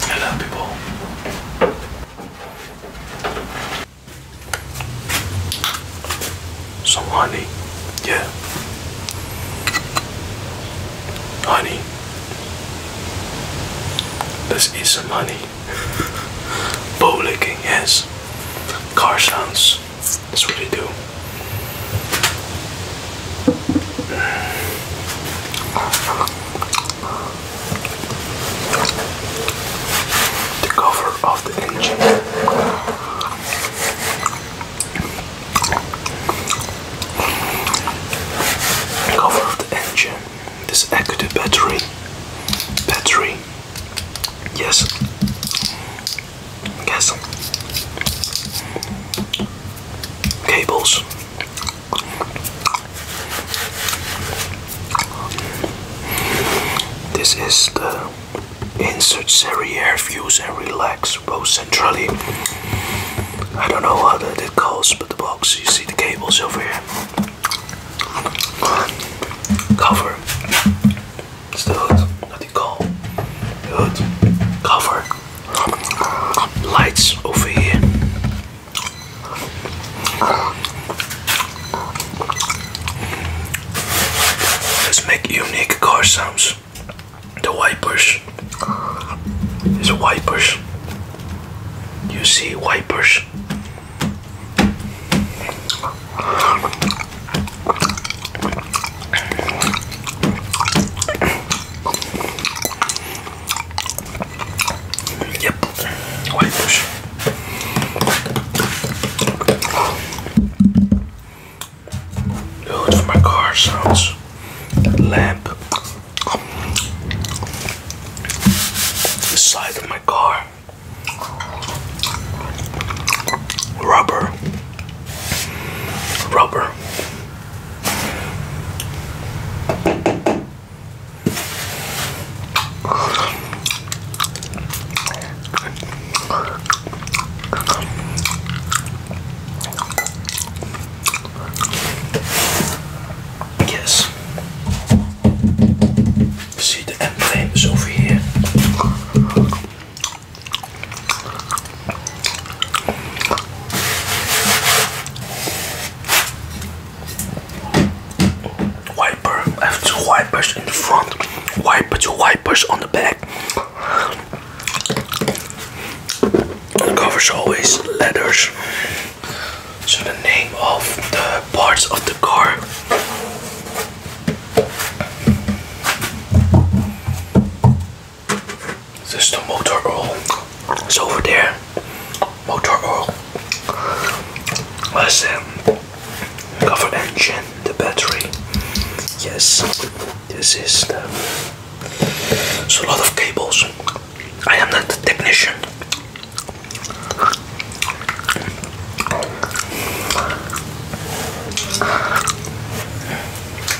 Hello, people. Some honey, yeah. Honey. Let's eat some honey. Bow licking, yes. Car sounds. That's what they do. The cover of the engine. cover of the engine this Acute battery. Battery. Yes. Yes. Cables. This is the insert serrier fuse and relax both centrally. I don't know what it calls, but the box you see the cables over here cover. It's the hood that you call the hood cover. Lights over here. Let's make unique car sounds. The wipers. These wipers. You see wipers. Yep, white fish. Dude, my car sounds lamp. The side of my car. Rubber. Rubber. Yes. See the M is over here. Wiper, I have two wipers in the front, wiper two wipers on the back. The covers always letters. So the name of the parts of the car. This is the motor oil. It's over there. Motor oil. Let's um, cover engine, the battery. Yes, this is the. It's a lot of cables. I am not a technician.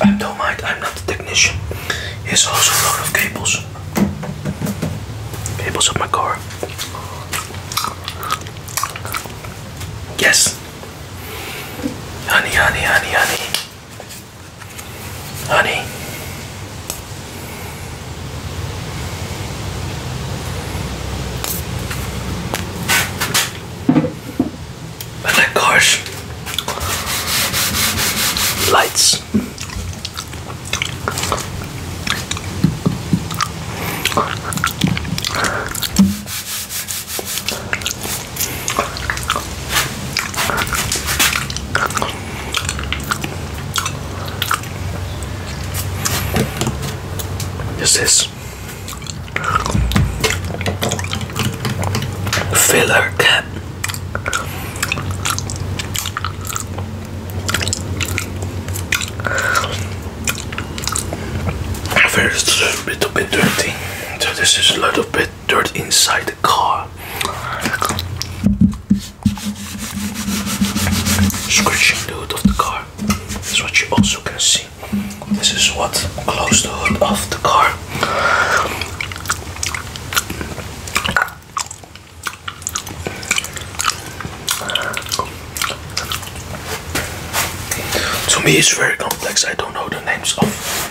I don't mind, I'm not a technician. Here's also a lot of cables. Cables of my car. Yes. Honey, honey, honey, honey. Honey. But the lights this is filler cap. a little bit dirty. So this is a little bit dirt inside the car scratching the hood of the car. That's what you also can see. This is what closed the hood of the car. To me, it's very complex. I don't know the names of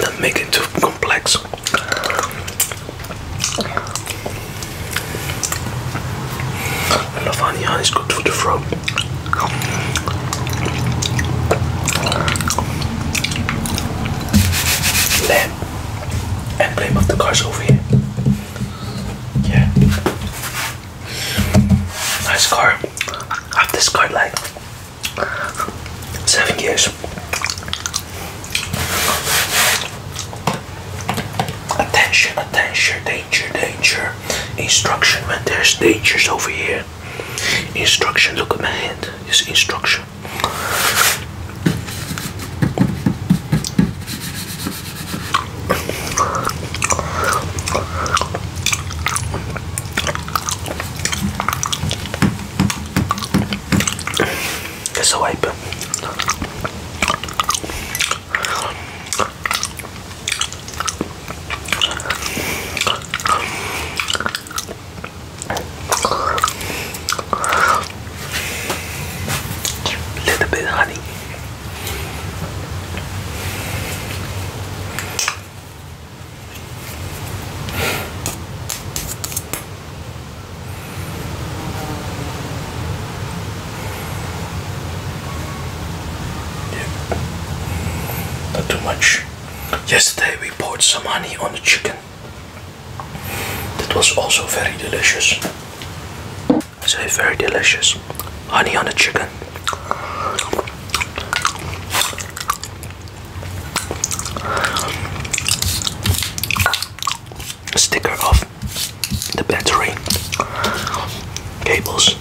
Not make it too complex. I love honey, honey's the throat. Lamb and blame of the cars over here. Yeah. Nice car. I've this like seven years. Attention, attention, danger, danger. Instruction, When there's dangers over here. Instruction, look at my hand. It's instruction. It's a wipe. Little bit honey. Not too much. Yesterday we poured some honey on the chicken. That was also very delicious so it's very delicious. Honey on the chicken. Sticker off the battery cables.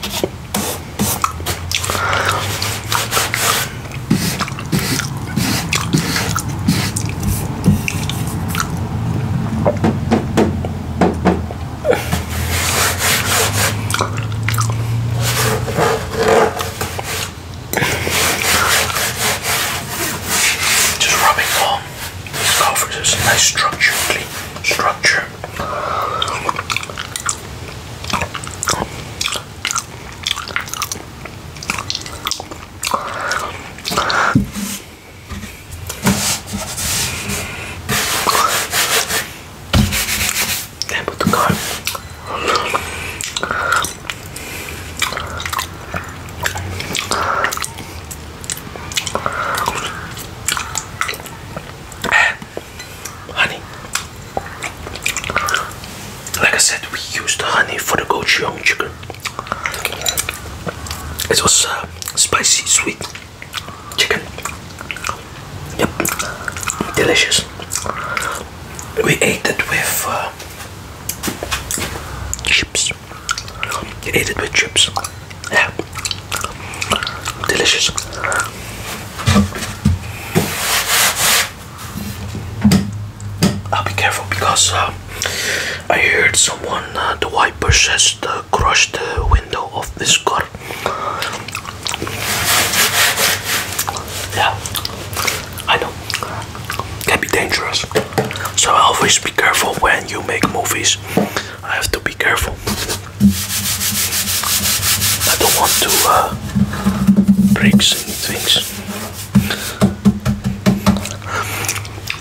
Just rubbing on these coffers, it's a nice structure, structure. Tempo do carro. Eh, honey. Like I said, we used honey for the gochujang chicken. It was uh, spicy, sweet chicken. Yep, delicious. We ate it with uh, chips. You ate it with chips. Yeah, delicious. I'll be careful because uh, I heard someone, uh, the wipers says the Crush the window of this car. Yeah, I know. Can be dangerous. So always be careful when you make movies. I have to be careful. I don't want to uh, break any things.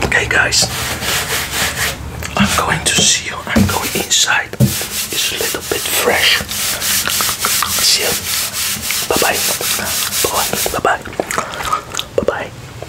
Okay, guys, I'm going to see you. I'm going inside, it's a little bit fresh. See you. Bye bye. Bye bye. Bye bye. Bye bye.